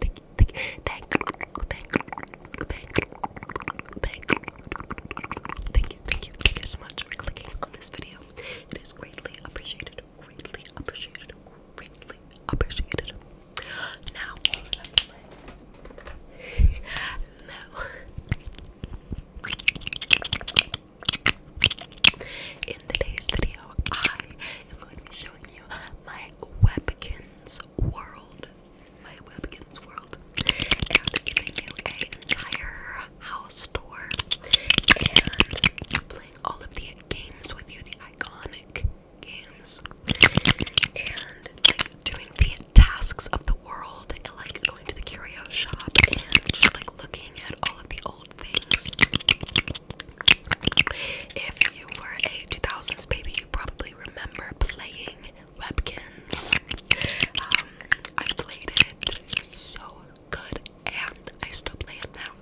thank you, thank you, thank you, thank you, thank you, thank you, thank you, thank you, thank you so much for clicking on this video. It is greatly appreciated, greatly appreciated, greatly appreciated. Now, In today's video, I am going to be showing you my webkins. Webkin's World. My Webkin's World. And giving you an entire house tour and playing all of the games with you, the iconic games. And like doing the tasks of the world and like going to the curio shop and just like looking at all of the old things. If you were a 2000s baby, you probably remember playing Webkins. Um, I played it so good, and I still play it now.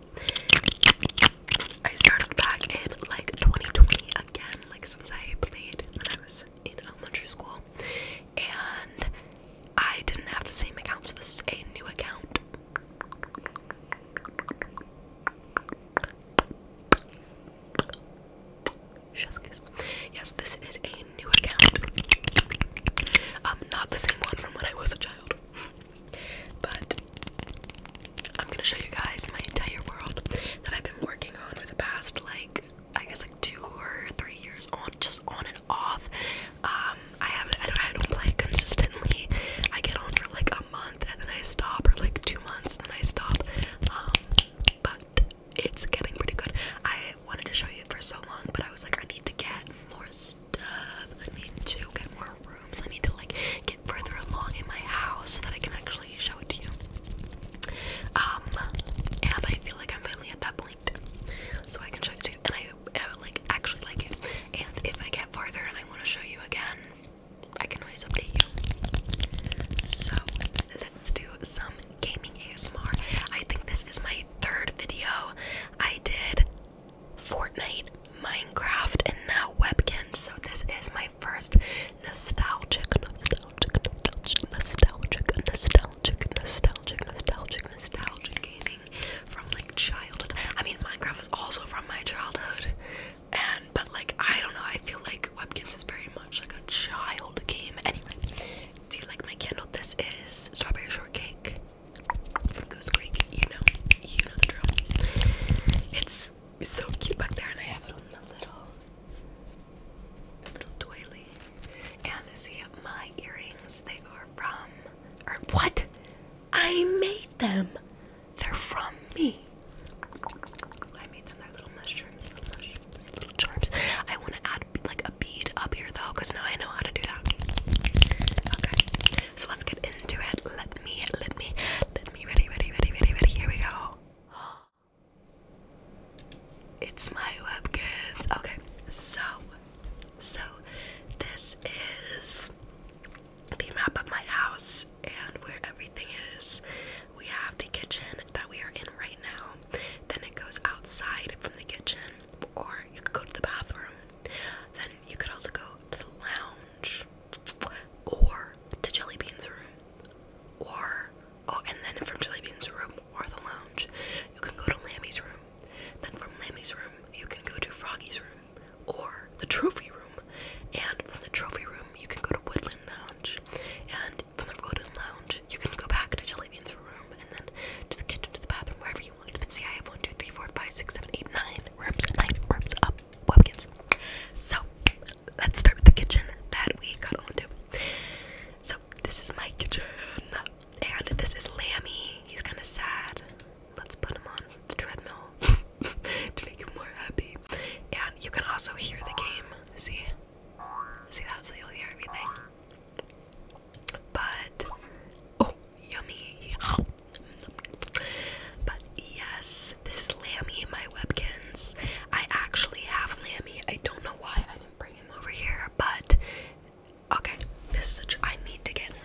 I started back in like 2020 again, like since I played when I was in elementary school, and I didn't have the same account, so this is a new account. Yes, this is a new account. I'm um, not the same one from when I was a child. But I'm gonna show you guys my entire world that I've been working on for the past like I guess like two or three years on just on and off. Um I haven't I don't I don't play consistently. I get on for like a month and then I stop, for like two months and then I stop. Um, but it's getting pretty good. I wanted to show you for so long, but I was like, I need to get more stuff. I need to get more rooms. I need to like get further along in my house so that I can actually show it to you. Um, and I feel like I'm finally at that point, so I can show it to you. And I, I like actually like it. And if I get farther and I want to show you again, I can always update you. So let's do some gaming ASMR. I think this is my third video. I did Fortnite, Minecraft, and now Webkin. So this is my first nostalgic, nostalgic, nostalgic, nostalgic, nostalgic, nostalgic, nostalgic, nostalgic gaming from like childhood. I mean, Minecraft was also from my childhood and but like I don't know, I feel like Webkins is very much like a child game. Anyway, do you like my candle? This is strawberry shortcake from Goose You know, you know It's so cute back there, and I have it on the little little doily. And see my earrings, they are from or what? I made them. They're from me. I made them their little mushrooms, little charms. I want to add like a bead up here though, now I know how to do that. Okay, so let's get into it. Let me, let me, let me, ready, ready, ready, ready, ready. Here we go. It's my webkins. Okay, so, so this is the map of my house and where everything is. We have the kitchen that we are in right now. Then it goes outside from the kitchen, or you could go to the bathroom. Then you could also go to the lounge, or to Jelly room, or oh, and then from Jelly Bean's room or the lounge, you can go to Lammy's room. Then from Lammy's room, you can go to Froggy's room or the trophy room. And from the trophy room, you can go to Woodland Lounge. And from the Golden Lounge, you can go back to Jelly Bean's room and then to the kitchen, to the bathroom, wherever you want. But see, I have 1, rooms, 9 rooms up, Webkins. So, let's start with the kitchen that we got onto. So, this is my kitchen. And this is Lammy. He's kind of sad. Let's put him on the treadmill to make him more happy and you can also hear the game. See, see that's so you'll hear everything. But oh, yummy! But yes, this is Lammy, my Webkins. I actually have Lammy. I don't know why I didn't bring him over here, but okay, this is a tr I need to get Lammy.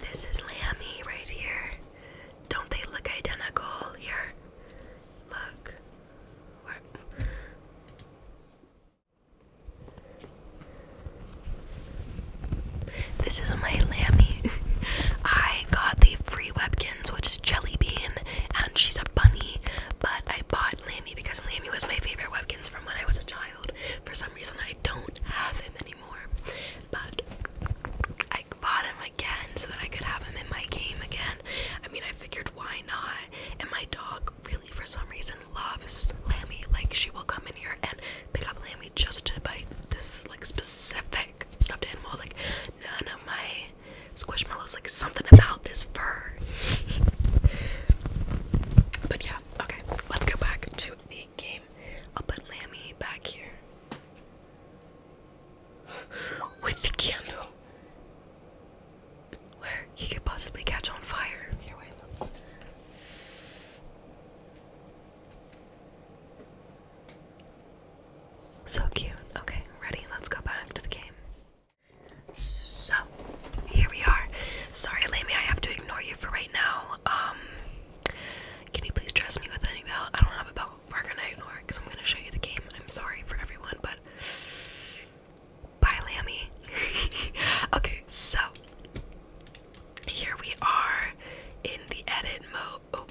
This is Lammy right here. Don't they look identical here? Look. This is my Lammy. I got the free Webkins, which is Jelly Bean, and she's a bunny. But I bought Lammy because Lammy was my favorite Webkins from when I was a child. For some reason, I don't have him anymore, but I bought him again so that I could have him in my game again. I mean, I figured why not? And my dog really, for some reason, loves Lammy. Like, she will come in here and pick up Lammy just to bite this like specific stuffed animal. Like, none of my squishmallows. Like, something about this fur. but yeah, okay, let's go back to the game. I'll put Lammy back here. With the candle. Where he could possibly catch on fire. So cute. Okay, ready? Let's go back to the game. So, here we are. Sorry, Lammy. I have to ignore you for right now. Um, can you please trust me with any bell? I don't have a bell. We're gonna ignore it because I'm gonna show you the game. I'm sorry for everyone, but bye, Lammy. okay, so here we are in the edit mode. Oh,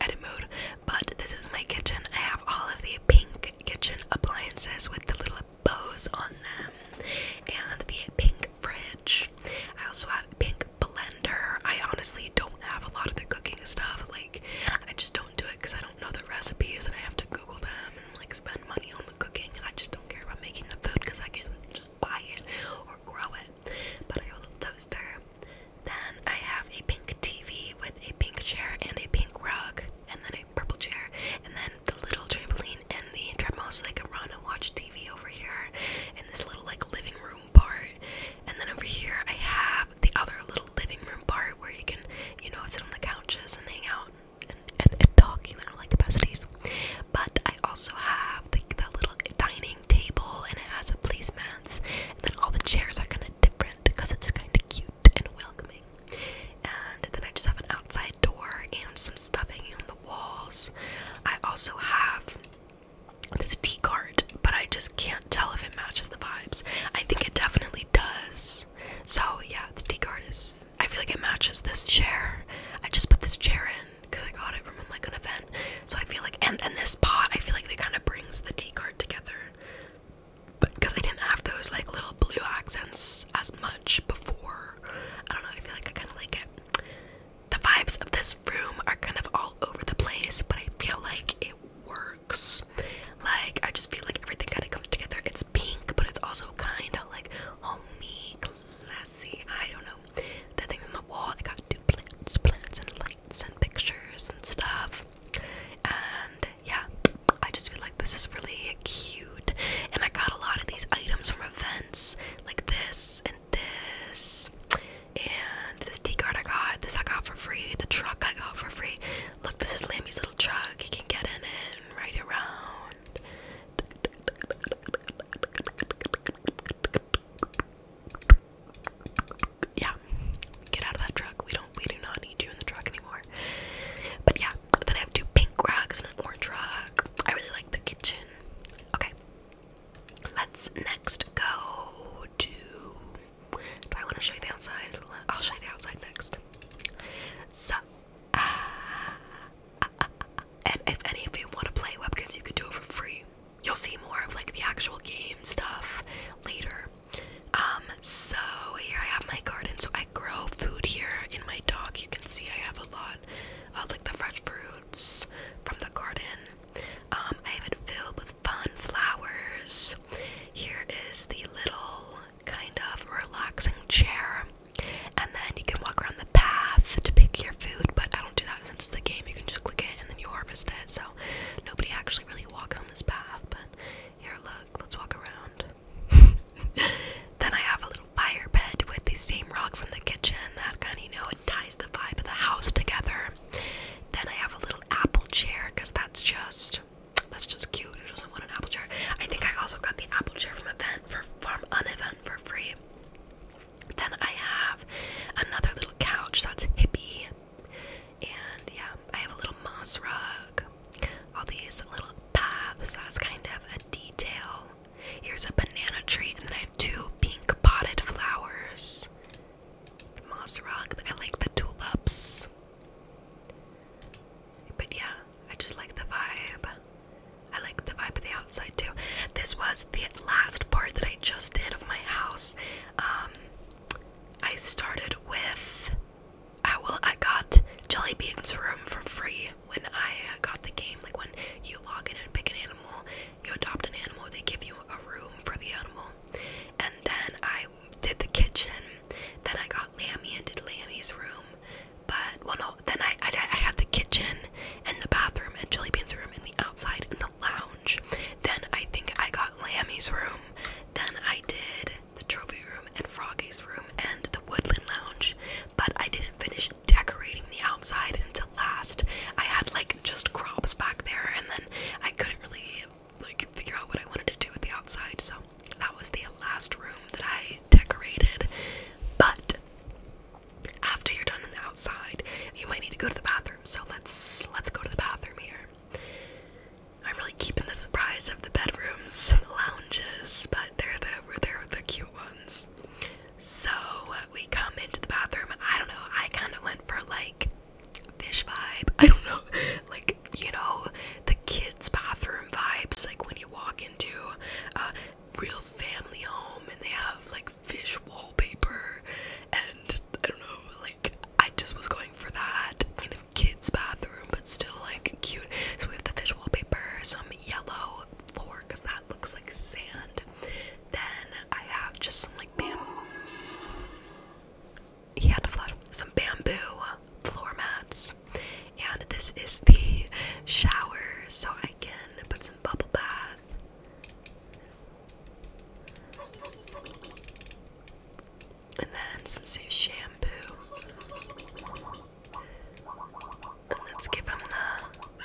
edit mode. But this is my kitchen. I have all of the pink kitchen appliances with the little bows on them and the pink fridge. I also have a pink blender. I honestly don't have a lot of the cooking stuff. Like, I just don't do it because I don't know the recipes and I have to Google them and like spend money on the cooking. And I just don't care about making the food because I can just buy it or grow it. But I have a little toaster. Then I have a pink TV with a pink chair and a pink rug, and then a purple chair, and then the little trampoline and the treadmill so I can run and watch TV over here in this little like living room part. And then over here I have the other little living room part where you can, you know, sit on the couches and hang out and, and, and talk, you know, like besties. But I also have the, the little dining table and it has a placemats and then all the chairs are kind of different because it's kind of cute and welcoming. And then I just have an outside door and some stuffing on the walls. I also have this tea cart, but I just can't tell if it matches the vibes. I think it definitely does. So yeah, the tea cart is. I feel like it matches this chair. I just put this chair in because I got it from like an event. So I feel like, and and this pot, I feel like it kind of brings the tea cart together. But because I didn't have those like little blue accents as much before, I don't know. I feel like I kind of like it the vibes of this room are kind of all over the place, but I feel like it works. Like, I just feel like everything kind of comes together. It's pink, but it's also kind of like homey, classy. I don't know. The thing on the wall, I got two plants, plants, and lights, and pictures, and stuff. And yeah, I just feel like this is really cute. And I got a lot of these items from events like this this and this T card I got. This I got for free. The truck I got for free. Look, this is Lammy's little truck. He can get in and ride around. Yeah, get out of that truck. We don't. We do not need you in the truck anymore. But yeah, then I have two pink rugs and an orange rug. I really like the kitchen. Okay, Let's next go to. Do I want to show you the outside? I'll show you the outside next. So, and uh, uh, uh, if any of you want to play Webkins, you can do it for free. You'll see more of like the actual game stuff later. Um, so here I have my garden. So I grow food here in my dock. You can see I have a lot uh, like the fresh fruits from the garden. Um, I have it filled with fun flowers. Here is the little kind of relaxing chair, and then you can walk around the path to pick your food. But I don't do that since it's the game. You can just click it and then you harvest it. So nobody actually really walks on this path. But here, look, let's walk around. then I have fire pit with the same rock from the kitchen that kind of, you know, it ties the vibe of the house together. Then I have a little apple chair because that's just that's just cute. Who doesn't want an apple chair? I think I also got the apple chair from event for from event for free. Then I have another little couch that's hippie. And yeah, I have a little moss rug. All these little paths as kind of a detail. Here's a banana tree, and then I have two pink potted flowers. The moss rock. I like the tulips. But yeah, I just like the vibe. I like the vibe of the outside too. This was the last part that I just did of my house. Um, I started with. I uh, well, I got Jelly Bean's room for free when I got the game. Like when you log in and pick an animal, you adopt an animal, they give you a room for the animal. And then I did the kitchen. Then I got Lammy and did Lammy's room. But, well, no, then I, I, had the kitchen and the bathroom and Jelly room and the outside and the lounge. Then I think I got Lammy's room. Then I did the trophy room and Froggy's room and the woodland lounge but I didn't finish decorating the outside until last. I had like just crops back there, and then I couldn't really like figure out what I wanted to do with the outside, so that was the last room that I decorated. But after you're done with the outside, you might need to go to the bathroom. So let's let's go to the bathroom here. I'm really keeping the surprise of the bedrooms, and the lounges, but they're the they're the cute ones. So we come into the bathroom. I don't know. I kind of went for like fish vibe. I don't know. Like, you know, the kids' bathroom vibes. Like when you walk into a real family home and they have like fish wallpaper. And I don't know. Like, I just was going for that kind of kids' bathroom, but still like cute. So we have the fish wallpaper, some yellow floor because that looks like sand. Then I have just some like bam. He some bamboo floor mats, and this is the shower, so I can put some bubble bath. And then some shampoo. let's give him the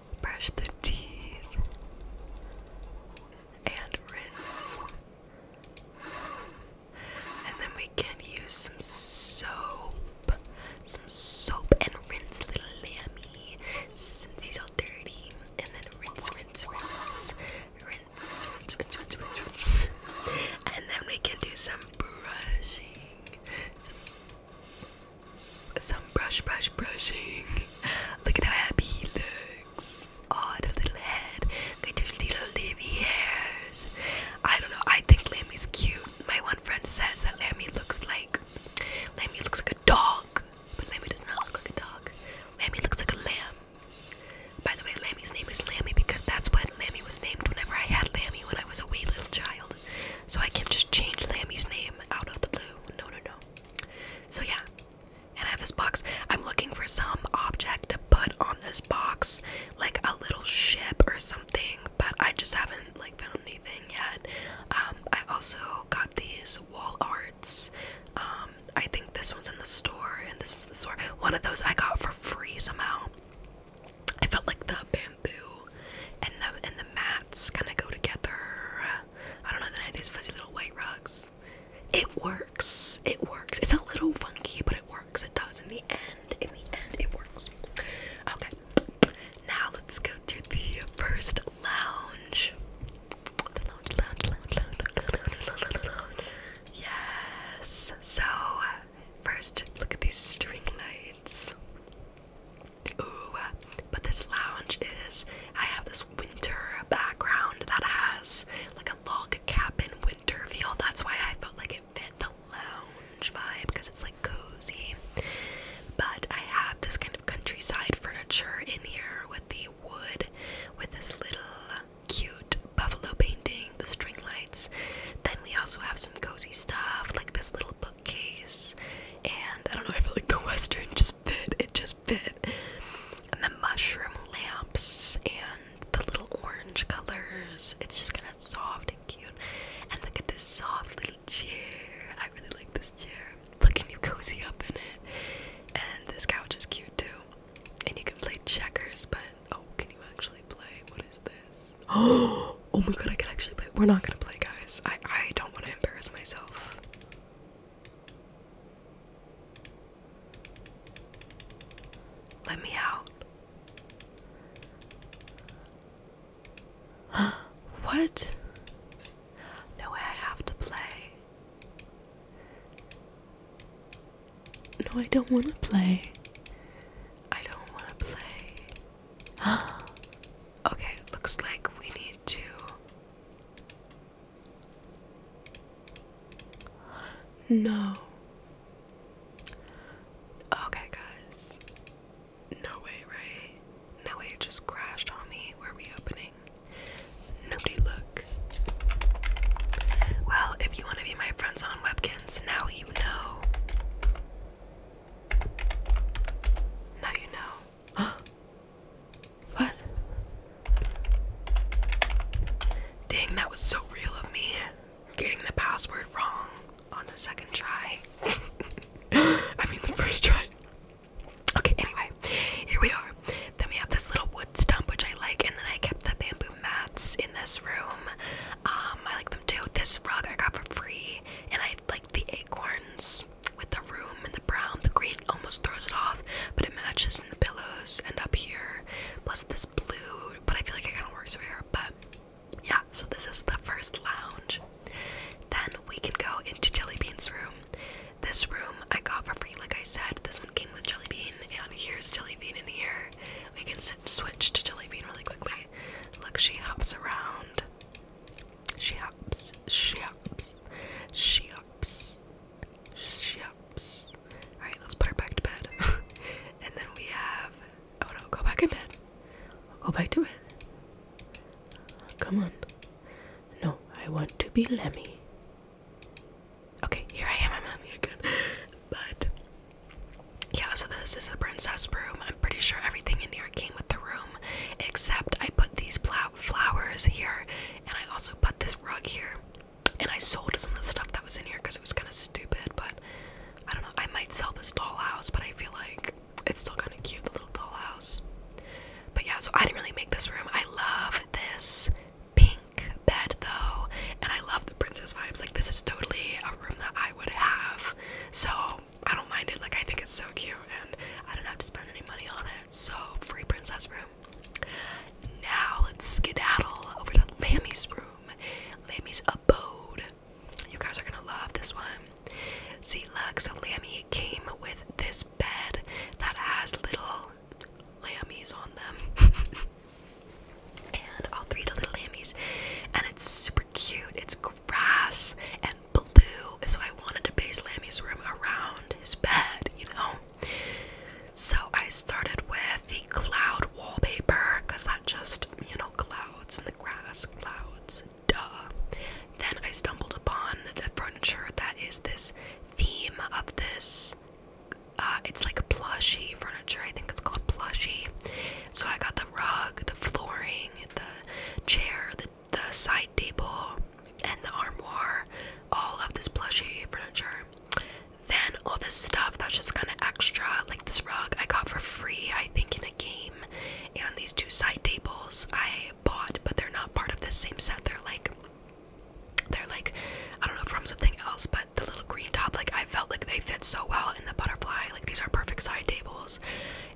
brush the teeth, and rinse. And then we can use some soap, some soap, and rinse little Lammy since he's all dirty. And then rinse, rinse, rinse, rinse, rinse, rinse, rinse, rinse, rinse. And then we can do some brushing, some some brush, brush, brushing. Look at how happy he looks. Oh, the little head. Look little livy hairs. I don't know. I think Lammy's cute. My one friend says that Lammy looks like Lammy looks like a dog, but Lammy does not look like a dog. Lammy looks like a lamb. By the way, Lammy's name is Lammy because that's what Lammy was named whenever I had Lammy when I was a wee little child. So I can't just change Lammy's name out of the blue. No, no, no. So yeah, and I have this box. I'm looking for some object to put on this box, like a little ship or something, but I just haven't like found anything yet. Um, I also got these wall arts. Um, I think this one's in the store and this one's in the store. One of those I got for free somehow. I felt like the bamboo and the and the mats kind of go together. I don't know, these fuzzy little white rugs. It works. It works. It's a little funky, but it works. It does. In the end, in the end, it works. Okay. Now let's go to the first lounge. lounge. Yes. So first, look at these string lights. Ooh, but this lounge is, I have this winter background that has like a log cabin winter feel. That's why I felt like it fit the lounge vibe because it's like cozy. But I have this kind of countryside furniture in here with the wood, with this little cute buffalo painting, the string lights. Then we also have some cozy stuff like this little bookcase. And I don't know, I feel like the Western just fit. It just and the mushroom lamps and the little orange colors. It's just kind of soft and cute. And look at this soft little chair. I really like this chair. Look and you cozy up in it. And this couch is cute too. And you can play checkers, but oh, can you actually play? What is this? Oh, oh my god, I can actually play. We're not gonna play, guys. I I don't want to embarrass myself. Let me out. what? No way, I have to play. No, I don't want to play. I don't want to play. okay, looks like we need to no. Okay, guys. No way, right? No way, it just crashed on me. Were we opening? Nobody look. Well, if you want to be my friends on Webkins, now you know. Now you know. what? Dang, that was so real of me. Getting the password wrong on the second try. I mean, the first try. Okay, anyway, here we are. Then we have this little wood stump, which I like, and then I kept the bamboo mats in this room. Um, I like them too. This rug I got for free, and I like the acorns with the room and the brown. The green almost throws it off, but it matches in the pillows and up here. Plus this blue, but I feel like it kind of works over here. But yeah, so this is the first lounge. Then we can go into Jelly Bean's room. This room I got for free, like I said. This one came with Jelly Bean, and here's Jelly Bean in here. We can switch to Jelly Bean really quickly. Look, she hops around. She hops, she hops, she hops. Shups. Alright, let's put her back to bed. and then we have. Oh no, go back in bed. Go back to it. Come on. No, I want to be Lemmy. Okay, here I am, I'm Lemmy again. but. Yeah, so this is the princess room. I'm pretty sure everything in here came with the room, except I put these flowers here and I also put this rug here. And I sold some of the stuff that was in here because it was kind of stupid. But I don't know. I might sell this dollhouse, but I feel like it's still kind of cute, the little dollhouse. But yeah, so I didn't really make this room. I love this pink bed though. And I love the princess vibes. Like, this is totally a room that I would have. So I don't mind it. Like, I think it's so cute. And I don't have to spend any money on it. So, free princess room. Now let's skedaddle over to Lammy's room, Lammy's abode. You guys are gonna love this one. See, look, so Lammy came with this bed that has little Lammys on them. and all three of the little Lammys, And it's super cute. It's grass and blue. So I wanted to base Lammy's room around his bed, you know? So I started with the cloud wallpaper because that just, you know, clouds and the grass, clouds, duh. Then I stumbled upon the furniture that is this theme of this. Uh, it's like plushy furniture. I think it's called plushy. So I got the rug, the flooring, the chair, the the side table, and the armoire, all of this plushy furniture. Then all this stuff that's just kind of extra, like this rug I got for free, I think, in a game. And these two side tables I bought, but they're not part of this same set. They're like, they're like, I don't know, from something else. But the little green top, like I felt like they fit so well in the butterfly. Like these are perfect side tables,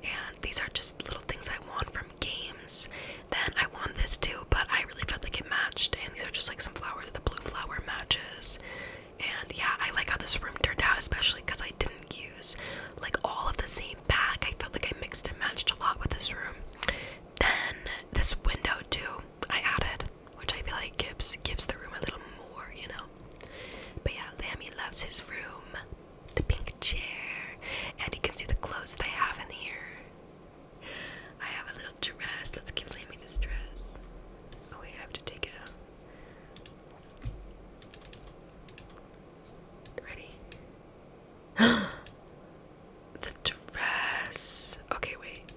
and these are just little things I want from games then I want this too but I really felt like it matched and these are just like some flowers the blue flower matches and yeah I like how this room turned out especially because I didn't use like all of the same pack I felt like I mixed and matched a lot with this room then this window too I added which I feel like gives gives the room a little more you know but yeah Lammy loves his room the pink chair and you can see the clothes that I have in here I have a little dress. Let's keep Lammy this dress. Oh wait, have to take it out. Ready? the dress. Okay, wait.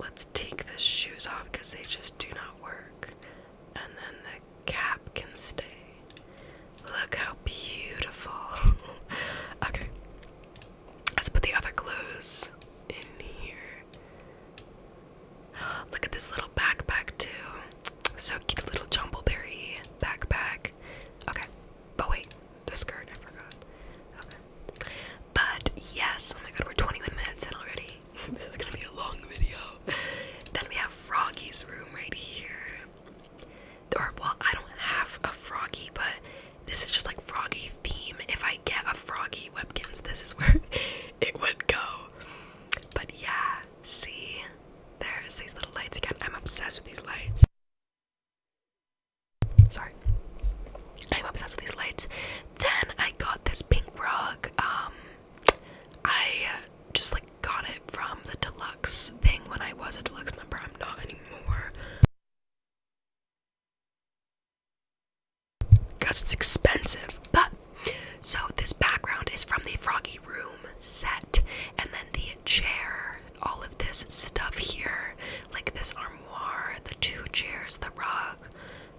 Let's take the shoes off because they just do not work. And then the cap can stay. Look how beautiful. okay. Let's put the other clothes in here. Look at this little backpack, too. So cute, little jumbleberry backpack. Okay. But wait, the skirt, I forgot. But yes, oh my god, we're 21 minutes in already. this is gonna be a long video. then we have Froggy's room right here or well, I don't have a froggy, but this is just like froggy theme. If I get a froggy Webkins, this is where it would go. But yeah, see, there's these little lights again. I'm obsessed with these lights. Sorry, I'm obsessed with these lights. Then I got this pink rug. Um, I just like got it from the deluxe thing when I was a deluxe member. I'm not anymore because it's expensive. But so this background is from the Froggy Room set, and then the chair, all of this stuff here, like this armoire, the two chairs, the rug,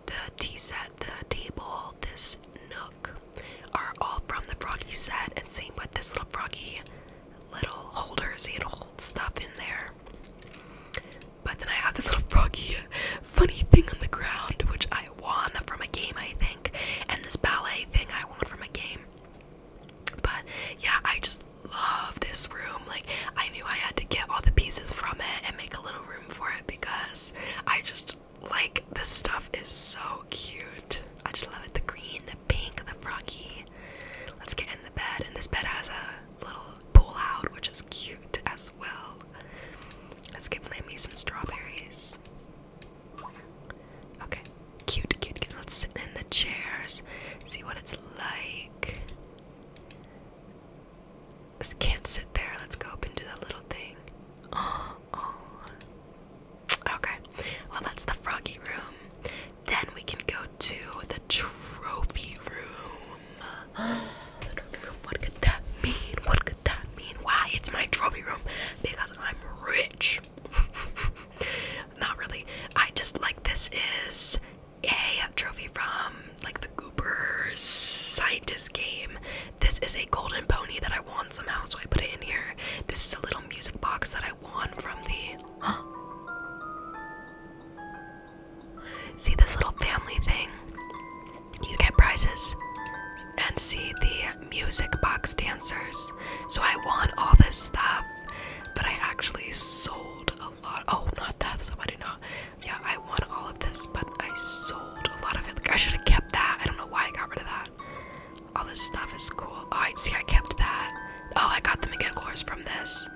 the tea set, the table, this nook, are all from the Froggy set, and same with this little Froggy little holders. You can hold stuff in there. But then I have this little froggy, funny thing on the ground, which I won from a game, I think, and this ballet thing I won from a game. But yeah, I just love this room. Like, I knew I had to get all the pieces from it and make a little room for it because I just like this stuff is so cute. I just love it. The green, the pink, the froggy. Let's get in the bed, and this bed has a little pull out, which is cute as well. Let's give Lammy some strawberries. Okay, cute, cute, cute. Let's sit in the chairs, see what it's like. Just can't sit there. Let's go up and do that little thing. Oh, oh. Okay, well, that's the froggy room. Then we can go to the trophy room. the trophy room. What could that mean? What could that mean? Why it's my trophy room? Because I'm rich. Not really. I just like this is a trophy from like the Goopers scientist game. This is a golden pony that I won somehow, so I put it in here. This is a little music box that I one from the, Huh? See this little family thing? You get prizes. And see the music box dancers. So I want all this stuff, but I actually sold a lot. Oh, not that stuff. I did not. Yeah, I want all of this, but I sold a lot of it. Like, I should have kept that. I don't know why I got rid of that. All this stuff is cool. All oh, right, see. I kept that. Oh, I got them again. Of course, from this.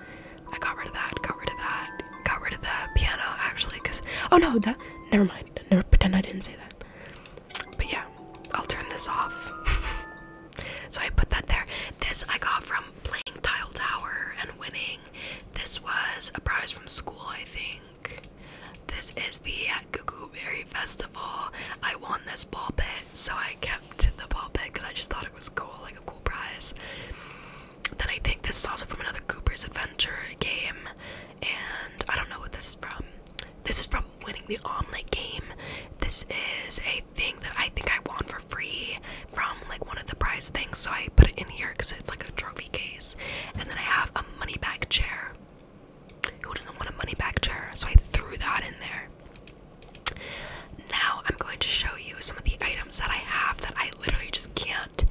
I got rid of that. Got rid of that. Got rid of the piano actually, cause oh no, that never mind. Never pretend I didn't say that. But yeah, I'll turn this off. so I put that there. This I got from playing Tile Tower and winning. This was a prize from school, I think. This is the Cuckoo Berry Festival. I won this ball pit, so I kept to the ball pit because I just thought it was cool, like a cool prize. Then I think this is also from another Cooper's Adventure game, and I don't know what this is from. This is from winning the omelet game. This is a thing that I think I won for free from like one of the prize things, so I put it in here because it's like a trophy case. And then I have a money bag chair. Who doesn't want a money bag chair? So I threw that in there. Now I'm going to show you some of the items that I have that I literally just can't.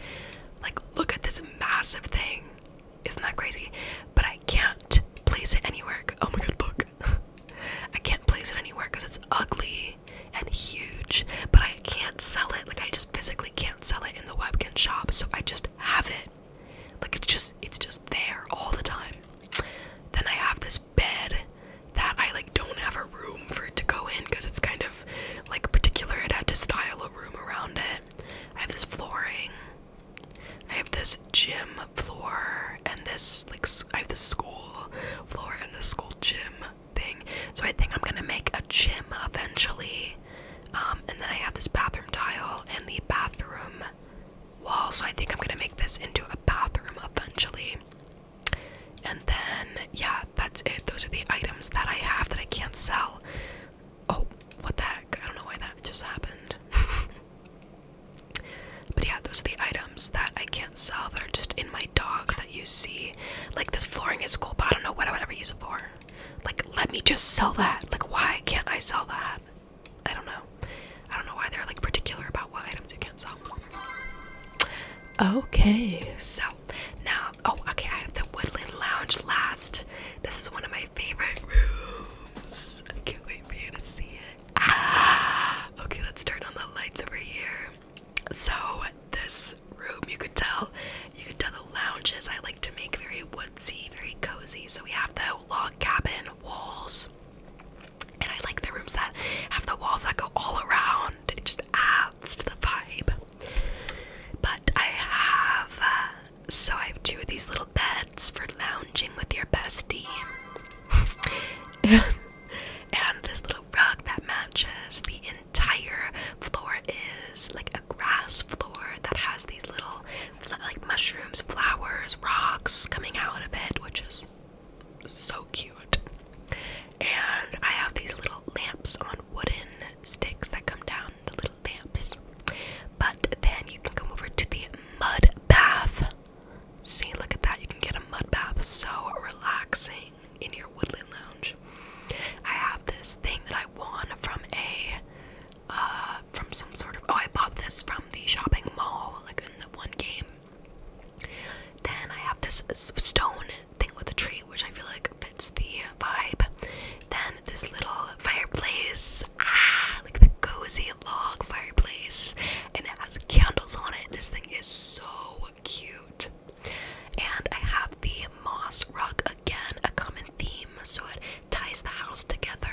Like, look at this massive thing. Isn't that crazy? But I can't place it anywhere. Oh my god, look. I can't place it anywhere because it's ugly and huge, but I can't sell it. Like, I just physically can't sell it in the webkin shop, so I just have it. Like, it's just, it's just there all the time. Then I have this bed that I like don't have a room for it to go in because it's kind of like particular. I'd have to style a room around it. I have this flooring. I have this gym floor and this like I have the school floor and the school gym thing. So I think I'm gonna make a gym eventually. Um, and then I have this bathroom tile and the bathroom wall, so I think I'm gonna make this into a bathroom eventually. And then, yeah, that's it. Those are the items that I have that I can't sell. Oh, what the heck? I don't know why that just happened. but yeah, those are the items that I can't sell that are just in my dog that you see. Like, this flooring is cool, but I don't know what I would ever use it for. Like, let me just sell that. Like, why can't I sell that? I don't know. I don't know why they're like particular about what items you can sell. Okay, so now, oh, okay, I have the Woodland Lounge last. This is one of my favorite rooms. I can't wait for you to see it. Ah! okay, let's turn on the lights over here. So, this room, you could tell, you could tell the lounges I like to make very woodsy, very cozy. So, we have the log cabin walls. And I like the rooms that have the walls that go all around. It just adds to the vibe. But I have, uh, so I have two of these little beds for lounging with your bestie. and this little rug that matches the entire floor is like a grass floor that has these little like mushrooms, flowers, rocks coming out of it, which is so cute. And I have these little lamps on wooden sticks that come down, the little lamps. But then you can come over to the mud bath. See, look at that. You can get a mud bath so relaxing in your woodland lounge. I have this thing that I won from a uh from some sort of oh I bought this from the shopping mall like in the one game then I have this stone thing with a tree, which I feel like fits the vibe. Then this little fireplace, ah, like the cozy log fireplace, and it has candles on it. This thing is so cute. And I have the moss rug again, a common theme, so it ties the house together.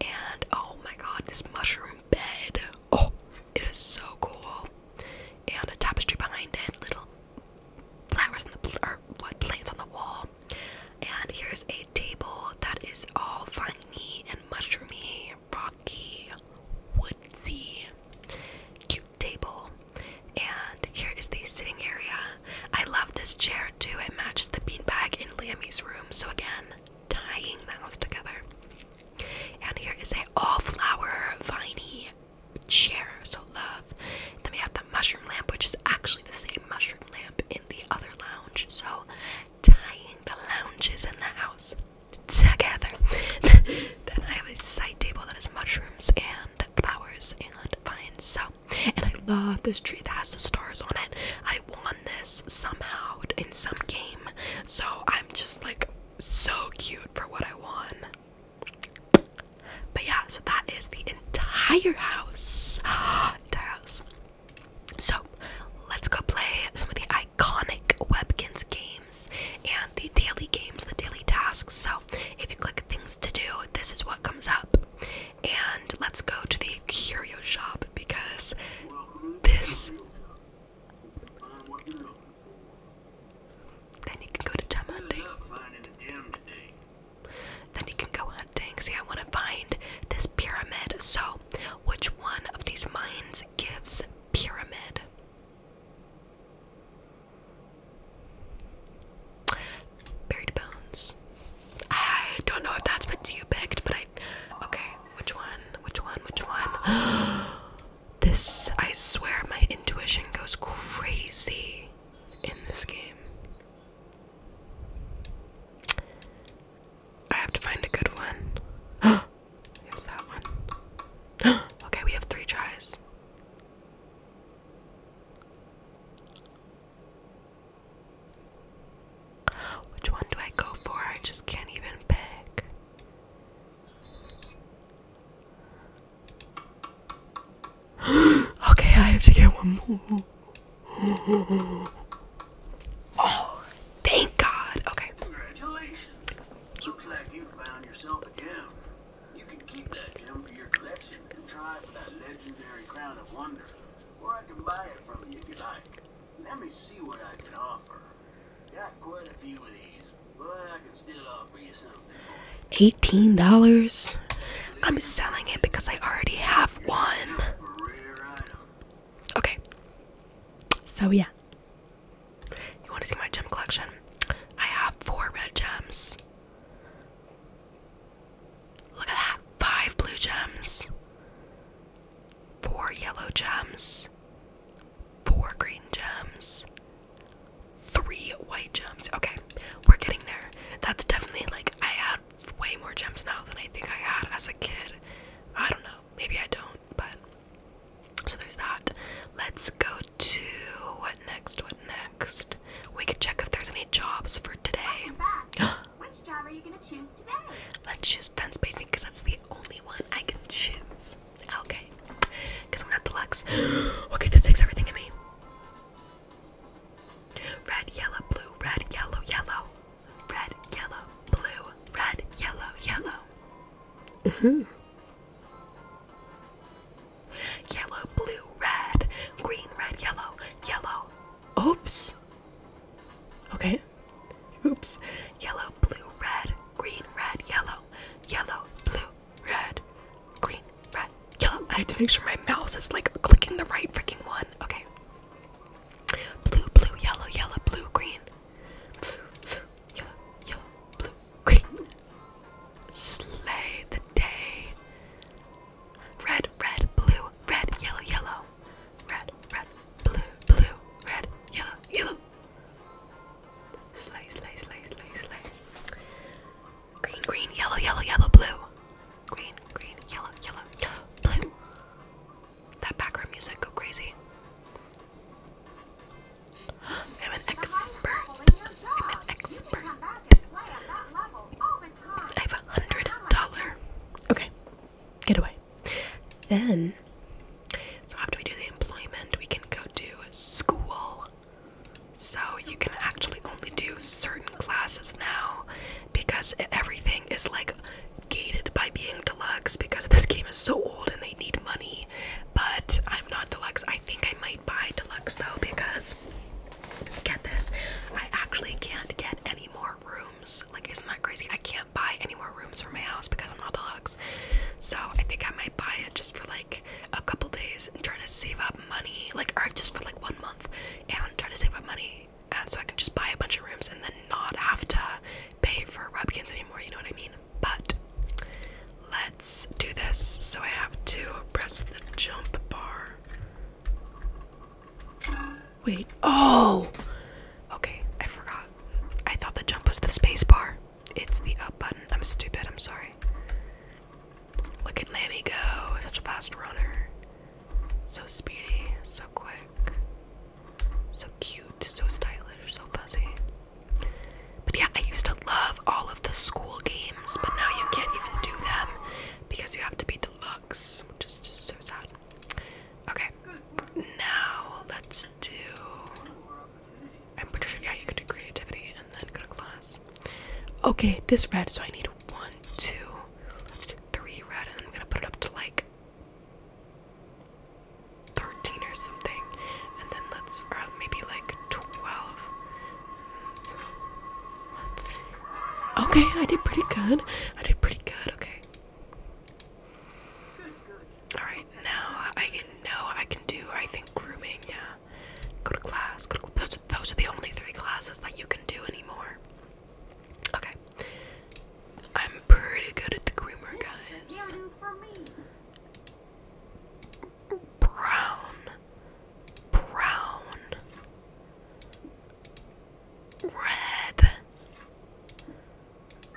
And oh my god, this mushroom bed. Oh, it is so cool. And a tapestry behind it, little flowers on the or what plants on the wall. And here's a table that is all viney and mushroomy, rocky, woodsy, cute table. And here is the sitting area. I love this chair too. It matches the beanbag in Liamy's room. So again, tying the house together. And here is a all-flower viney chair, so love. Then we have the mushroom lamp, which is actually the same mushroom lamp in the other lounge. So tying the lounges in the house together. then I have a side table that has mushrooms and flowers and vines. So and I love this tree that has the stars on it. I won this somehow in some game. So I'm just like so cute for what I won. But yeah, so that is the entire house. entire house. So let's go play some of the iconic Webkins games and the daily games, the daily tasks. So if you click things to do, this is what comes up. And let's go to the curio shop because this then you can go to gem hunting. Then you can go hunting. See, I want to find this pyramid. So, which one of these mines gives pyramid? Buried bones. I don't know if that's what you picked, but I. Okay, which one? Which one? Which one? Oh, this, I swear, my intuition goes crazy in this game. I have to find a good one. Here's that one. okay, we have three tries. Which one do I go for? I just can't even pick. okay, I have to get one more. oh, thank God. Okay. Congratulations. Looks like you found yourself a gem. You can keep that gem for your collection and try for that legendary crown of wonder. Or I can buy it from you if you like. Let me see what I can offer. Got quite a few of these, but I can still offer you something. Eighteen dollars? I'm selling it because I already have one. Okay. So yeah. You want to see my gem collection? I have four red gems. Look at that. Five blue gems four yellow gems, four green gems, three white gems. Okay, we're getting there. That's definitely like I had way more gems now than I think I had as a kid. I don't know, maybe I don't, but so there's that. Let's go to what next? What next? We could check if there's any jobs for today. Which job are you gonna choose today? Let's choose fence painting because that's the only one I can choose. Okay. Because I'm not deluxe. okay, this takes everything in me. Red, yellow, blue, red, yellow, yellow. Red, yellow, blue, red, yellow, yellow. -hmm. Yellow, blue, red, green, red, yellow, yellow. Oops. Okay. Oops. Yellow, blue, red, green, red, yellow yellow, blue, red, green, red, yellow. I have to make sure my mouse is like clicking the right freaking one. Okay. Blue, blue, yellow, yellow, blue, green. Blue, yellow, yellow, blue, green. Slay the day. Red, red, blue, red, yellow, yellow. Red, red, blue, blue, red, yellow, yellow, Slay, slay, slay, slay, slay. Green, green, yellow, yellow, yellow, blue. Green, green, yellow, yellow, blue. That background music go crazy. I'm an expert. I'm an expert. I have a hundred dollar. Okay, get away. Then so after we do the employment, we can go to school. So you can actually only do certain classes now because everything is like gated by being deluxe because this game is so old and they need money. But I'm not deluxe. I think I might buy deluxe though because get this, I actually can't get any more rooms. Like isn't that crazy? I can't buy anymore. more rooms for my house because I'm not deluxe. So I think I might buy it just for like a couple days and try to save up money, like or just for like one month and try to save up money and so I can just buy a bunch of rooms and then not have to pay for Rubkins anymore, you know what I mean? But let's do this. So I have to press the jump bar. Wait. Oh! Okay, I forgot. I thought the jump was the space bar. It's the up button. I'm stupid. I'm sorry. Look at Lammy go. Such a fast runner. So speedy. So quick. So cute. So stylish. So fuzzy. But yeah, I used to love all of the school games, but now you can't even do them because you have to be deluxe, which is just so sad. Okay, now let's do. I'm pretty sure, yeah, you can do creativity and then go to class. Okay, this red, so I need one, two, three red, and I'm gonna put it up to like 13 or something, and then let's, or maybe like 12. okay, I did pretty good. I did pretty good, okay. All right, now I can know I can do. I think grooming. Yeah, go to class. those, those are the only three classes that you can do anymore. Okay, I'm pretty good at the groomer, guys. Brown, brown, red,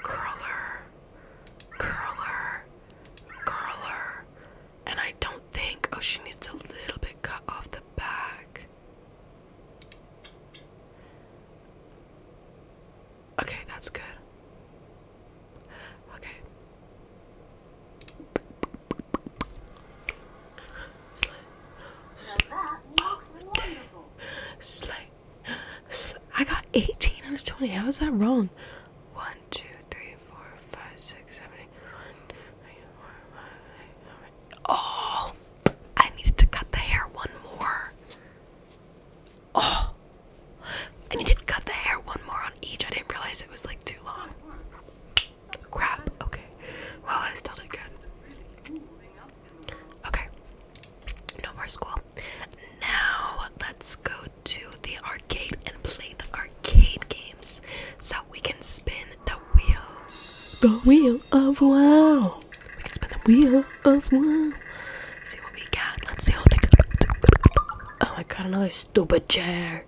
curler, curler, curler. And I don't think, oh, she needs a little bit cut off the back. Okay, that's good. Okay. Slay. Slay. All day. Slay. I got 18 out of 20. How is that wrong? 1, Oh, I needed to cut the hair one more. Oh, I needed to cut the hair one more on each. I didn't realize it was like too long. Crap. Okay. Well, I still did good. Okay. No more school. Now let's go to the arcade and play the arcade games so we can spin the wheel. The wheel of wow. We can spin the wheel of wow. See what we got. Let's see what we got. Oh my god, another stupid chair.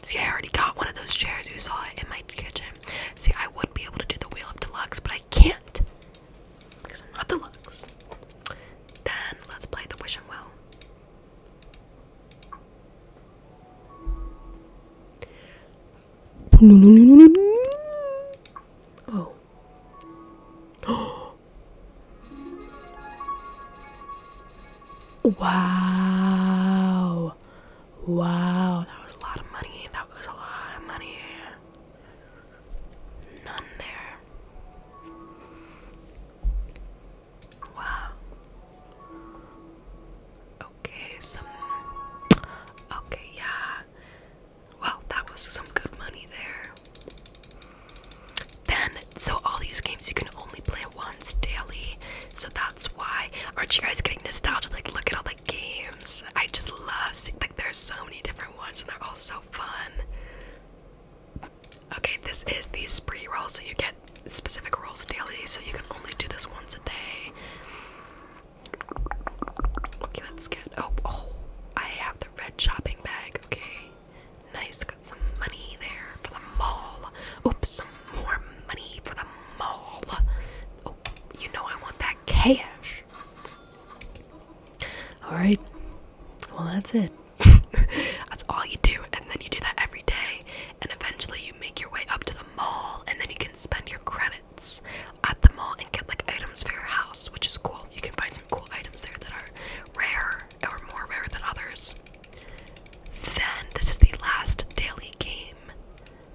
See, I already got one of those chairs. You saw it in my kitchen. See, I would be able to do the wheel of deluxe, but I can't because I'm not deluxe. Then let's play the wishing Well. Oh. wow. Wow. That was a lot of money. That was a lot of money. None there. Wow. Okay, some. Okay, yeah. Wow, that was some good money there. Then, so all these games you can only play once daily, so that's why. Aren't you guys getting nostalgic? Like, look at all the games. I just love seeing, like, there's so many different ones, and they're all so fun. Okay, this is the spree roll, so you get specific rolls daily, so you can only do this once a day. Okay, let's get. Oh, oh, I have the red shopping bag. Okay, nice. Got some money there for the mall. Oops, some more money for the mall. Oh, you know I want that cash. Alright, well, that's it. that's all you do, and then you do that every day, and eventually you make your way up to the mall, and then you can spend your credits at the mall and get like items for your house, which is cool. You can find some cool items there that are rare or more rare than others. Then, this is the last daily game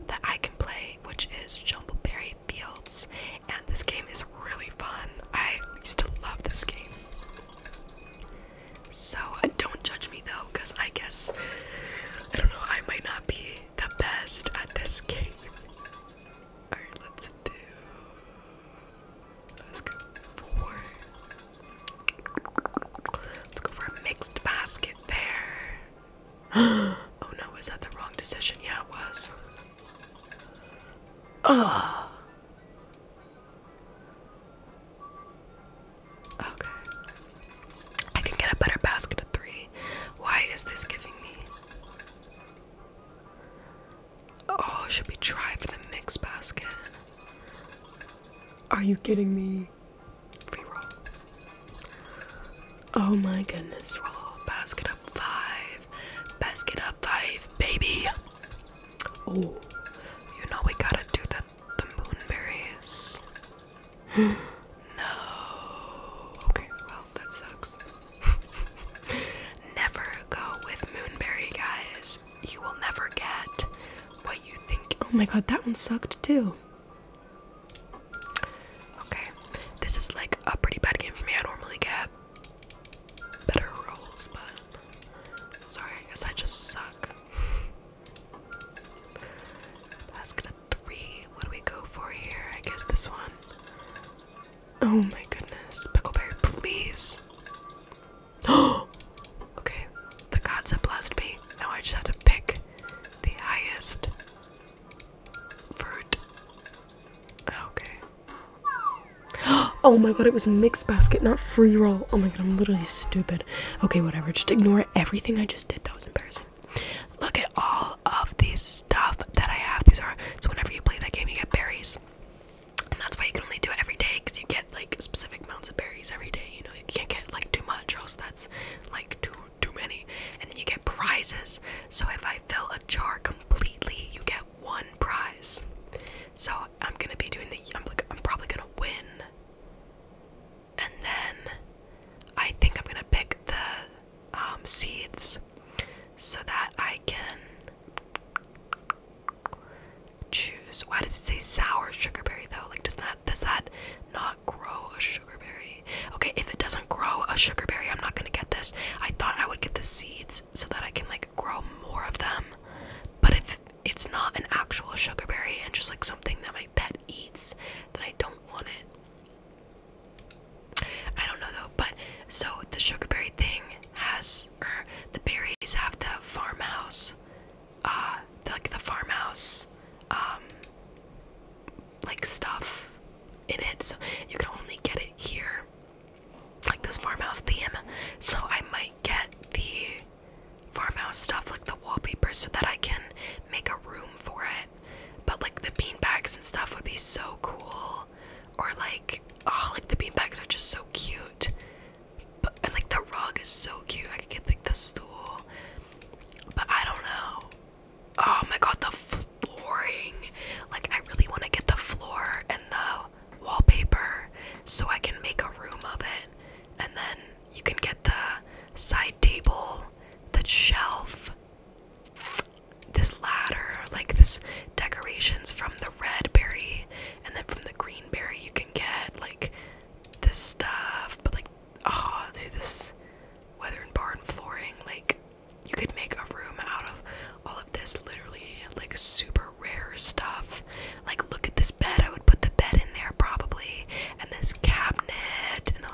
that I can play, which is Jumbleberry Fields, and this game is really fun. I used to love this game. So uh, don't judge me though, because I guess I don't know, I might not be the best at this game. Alright, let's do let's go for let's go for a mixed basket there. oh no, was that the wrong decision? Yeah, it was. Ugh. Okay. I can get a better basket of three. Why is this giving me? Oh, should we try for the mix basket? Are you kidding me? Free roll. Oh my goodness, roll. Basket of five. Basket of five, baby. Oh, you know we gotta do the the moonberries. no. Okay, well that sucks. never go with moonberry, guys. You will never get what you think. Oh my god, that one sucked too. Okay, this is like a pretty bad game for me. I normally get better rules, but sorry, I guess I just suck. Let's get three. What do we go for here? I guess this one. Oh my goodness. Pickleberry, please. Oh Okay. The gods have blessed me. Now I just have to pick the highest fruit. Okay. Oh my god, it was mixed basket, not free roll. Oh my god, I'm literally stupid. Okay, whatever. Just ignore everything I just did. That was embarrassing. Look at all of these stuff that I have. These are so whenever you play that game, you get berries. And that's why you can only do it every day because you get like specific amounts of berries every day. You know, you can't get like too much, or else that's like too too many. And then you get prizes. So if I fill a jar completely, you get one prize. So I'm gonna be doing the. I'm like, I'm probably gonna win. And then I think I'm gonna pick the um, seeds so that I can choose. Why does it say sour sugarberry though? Like, does that does that not grow a sugarberry? Okay, if it doesn't grow a sugarberry, I'm not gonna get this. I thought I would get the seeds so that I can like grow more of them. But if it's not an actual sugarberry and just like something that my pet eats, then I don't want it. I don't know though, but so the sugarberry thing has, or the berries have the farmhouse, uh, like the farmhouse, um, like stuff in it. So you can only get it here like this farmhouse theme. So I might get the farmhouse stuff, like the wallpaper, so that I can make a room for it. But like the beanbags and stuff would be so cool. Or like, oh, like the beanbags are just so cute. But like the rug is so cute. I could get like the stool. But I don't know. Oh my god, the flooring. Like I really want to get the floor and the wallpaper so I can make a room of it. And then you can get the side table, the shelf, this ladder, like this decorations from the red berry, and then from the green berry you can get like this stuff. But like, ah, oh, see this weather and barn flooring. Like, you could make a room out of all of this, literally, like super rare stuff. Like, look at this bed. I would put the bed in there probably, and this cabinet, and the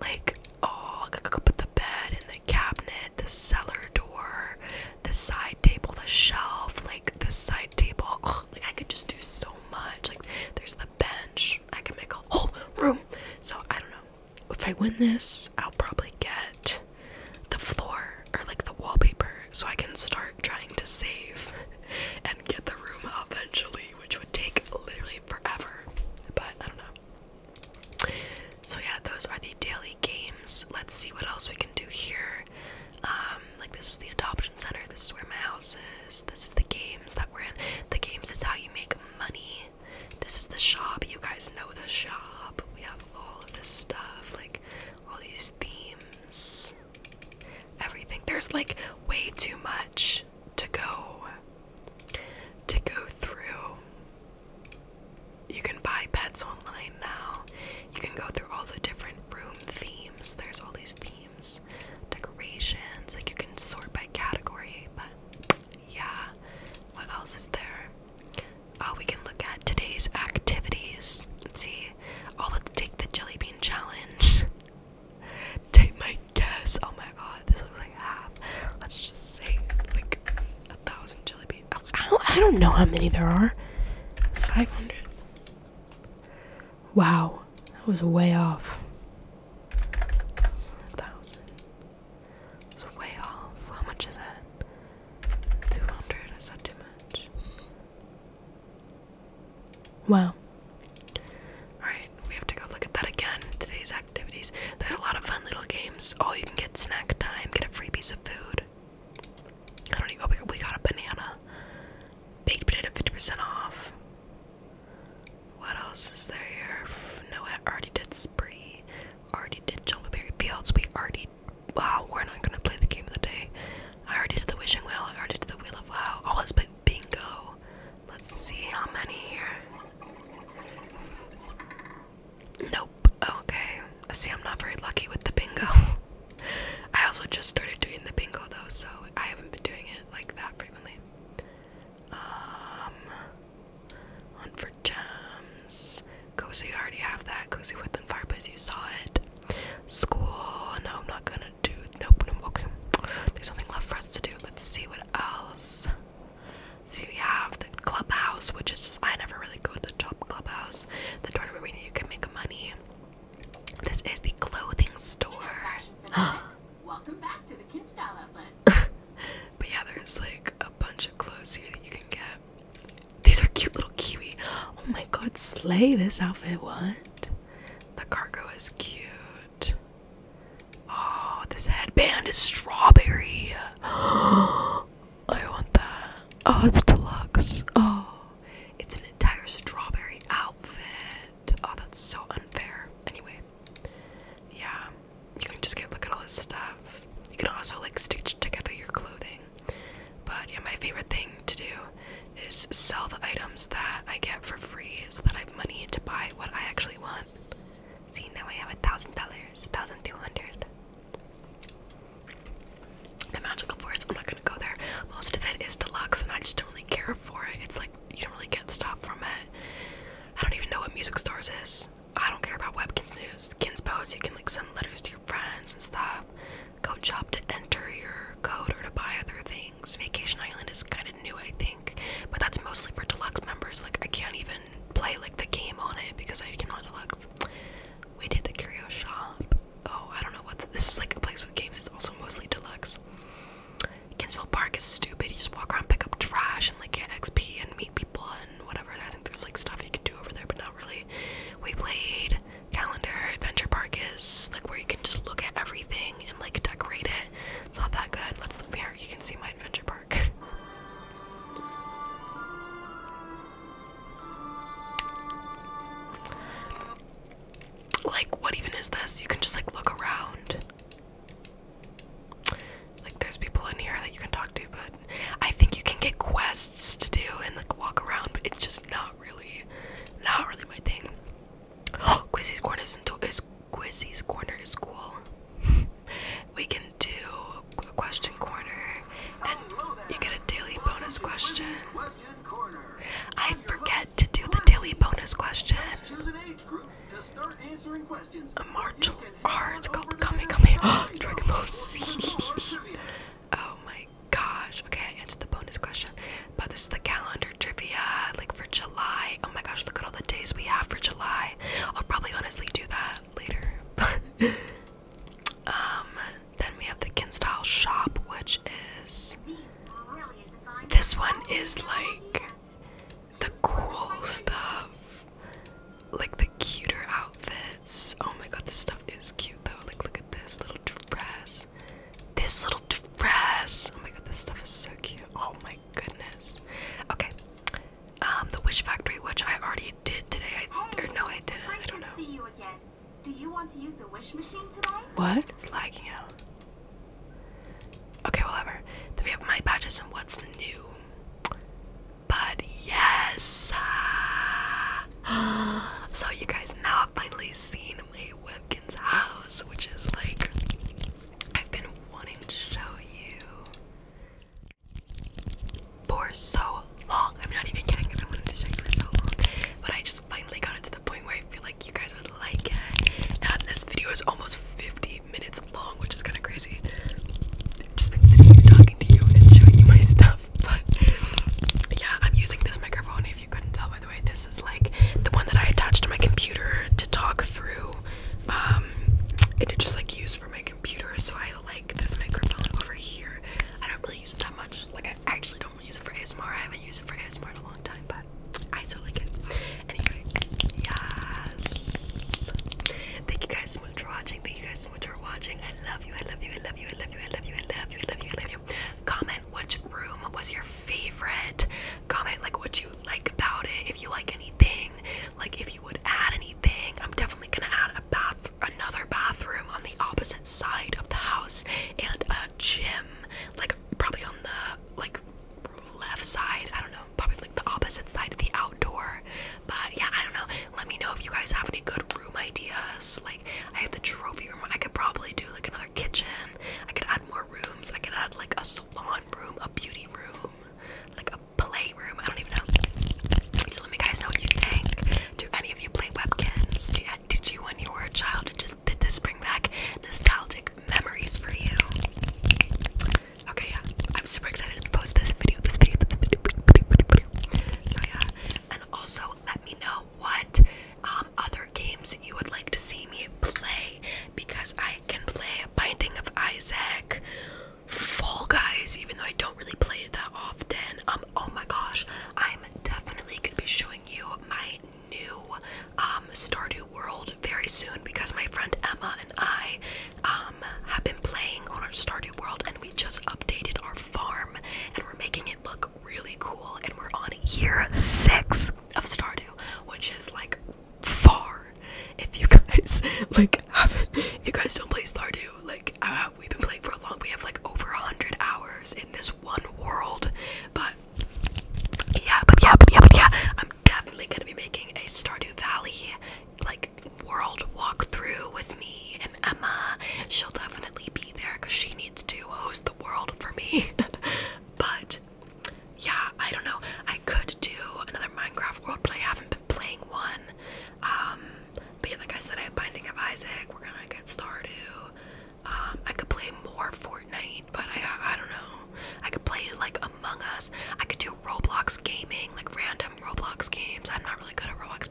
like. Oh, I could put the bed in the cabinet, the cellar door, the side table, the shelf, like the side table. Ugh, like, I could just do so much. Like, there's the bench. I can make a whole room. So I don't know. If I win this, I'll probably get the floor or like the wallpaper so I can start trying to save and get the room eventually, which would take literally forever. But I don't know. So, yeah, those are the daily games. Let's see what else we can do here. Um, like, this is the adoption center, this is where my house is, this is the games that we're in. The games is how you make money. This is the shop. You guys know the shop. We have all of this stuff, like all these there's themes, everything. There's like way too much to go to go through. You can buy pets online now. You can go through all the different room themes. There's all these themes, decorations, like you can sort by category, but yeah. What else is there? Uh, we can look at today's activities. Let's see. Oh, let's take the jelly bean challenge. take my guess. Oh my god, this looks like half. Let's just say like a thousand jelly beans. I don't, know how many there are. 500. Wow, that was way off. 1,000. It's way off. How much is that? 200. I said too much? Wow. Alright, we have to go look at that again. Today's activities. There's a lot of fun little games. Oh, you can get snack time, get a free piece of food. I don't even. Oh, we got a banana. Baked potato 50% off. What else is there here? No, I already did spree. Already did Jumbo Berry Fields. We already Wow, we're not gonna play the game of the day. I already did the wishing well. I already did the wheel of wow. All oh, let's play bingo. Let's see how many here. Nope. Okay. I see. I'm not very lucky with the bingo. I also just started doing the bingo though, so I haven't been doing it like that frequently. Um, for gems. Cozy, I already have that. Cozy within fireplace, you saw it. School, no, I'm not gonna do. Nope, no, okay. There's something left for us to do. Let's see what else. See, we have the clubhouse, which is just, I never really go to the top clubhouse. The tournament where you can make money. This is the clothing store. Welcome back to the Kid Outlet. but yeah, there's like a bunch of clothes here that you can get. These are cute little kiwi. Oh my god, slay this outfit. What? The cargo is cute. Oh, this headband is strawberry. I want that. Oh, it's deluxe. Oh, it's an entire strawberry outfit. Oh, that's so unfair. Anyway, yeah, you can just get look at all this stuff. You can also like stitch together your clothing. But yeah, my favorite thing to do is sell the items that I get for free so that I have money to buy what I actually want. See, now I have a thousand dollars, thousand two hundred. The magical forest, I'm not gonna go there. Most of it is deluxe, and I just don't really care for it. It's like you don't really get stuff from it. I don't even know what music stores is. I don't care about Webkins News. Kins Post, you can like send letters to your friends and stuff code shop to enter your code or to buy other things. Vacation Island is kind of new, I think, but that's mostly for deluxe members. Like, I can't even play like the game on it because I cannot deluxe. We did the curio shop. Oh, I don't know what this is like a place with games. It's also mostly deluxe. Kinsville Park is stupid. You just walk around, pick up trash, and like get XP and meet people and whatever. I think there's like stuff you can do over there, but not really. We played calendar adventure park is like where you can just look at everything and like decorate it it's not that good let's look here you can see my adventure park like what even is this you can just like look around like there's people in here that you can talk to but i think you can get quests to do and like walk around but it's just not really, not really my thing. Oh, Quizzy's corner is is Quizzy's corner is cool. we can do a question corner, and you get a daily bonus question. I forget to do the daily bonus question. A martial art called Kame Kame Dragon Ball Z. oh my gosh. Okay, I answered the bonus question. But this is the calendar trivia, like for July. Oh my gosh, look at all the days we have for July. I'll probably honestly do that later. um, then we have the Kinstyle shop, which is this one is like the cool stuff. Like the cuter outfit Oh my god, this stuff is cute though. Like, look at this little dress. This little dress. Oh my god, this stuff is so cute. Oh my goodness. Okay. Um, the Wish Factory, which I already did today. I, or no, I didn't. I don't know. See you again. Do to use What? It's lagging out. Okay, whatever. Then we have my badges and what's new. But yes, so you guys now I've finally seen Leigh Webkin's house, which is like I've been wanting to show you for so long. I'm not even kidding, I've been wanting to show you for so long. But I just finally got it to the point where I feel like you guys would like it. And this video is almost 50 minutes long, which is kinda crazy. I've just been sitting here talking to you and showing you my stuff yeah, I'm using this microphone. If you couldn't tell, by the way, this is like the one that I attached to my computer to talk through. Um, it just like used for my computer, so I like this microphone over here. I don't really use it that much. Like I actually don't use it for ASMR. I haven't used it for ASMR in a long time, but I still like it. Anyway, yes. Thank you guys so much for watching. Thank you guys so much for watching. I love you. I love you. I love you. I love you. I love you. I love you. I love you. I love you. Comment which room was your favorite. Comment like what you like about it. If you like anything, like if you would add anything. I'm definitely gonna add a bath, another bathroom on the opposite side of the house, and a gym, like probably on the like left side. I don't know, probably like the opposite side of the outdoor. But yeah, I don't know. Let me know if you guys have any good room ideas. Like, like I have the trophy room. I could probably do like another kitchen. I could add more rooms. I could add like a salon room, a beauty room, like a playroom. I don't even know. Just let me guys know what you think. Do any of you play webkins? Did you, did you when you were a child? Just did this bring back nostalgic memories for you? Okay, yeah. I'm super excited to post this video. This video. This video. This video, this video, this video. So yeah. And also, let me know what um, other games you would like to see me play because I can play Binding of Isaac, Fall Guys, even though I don't really play it that often. Um, oh my gosh, I'm definitely gonna be showing you my new um, Stardew World very soon because my friend Emma and I um, have been playing on our Stardew World and we just updated our farm and we're making it look really cool and we're on year six of Stardew, which is like far. If you guys like you guys don't play Stardew, like uh, we've been playing for a long. We have like over a hundred hours in this one world, but yeah, but yeah, but yeah, but yeah. I'm definitely gonna be making a Stardew Valley like world walk through with me and Emma. She'll definitely be there because she needs to host the world for me. but yeah, I don't know. I could do another Minecraft world, but I haven't been playing one. Um, but like I said, I have Binding of Isaac. We're gonna get started. Um, I could play more Fortnite, but I I don't know. I could play like Among Us. I could do Roblox gaming, like random Roblox games. I'm not really good at Roblox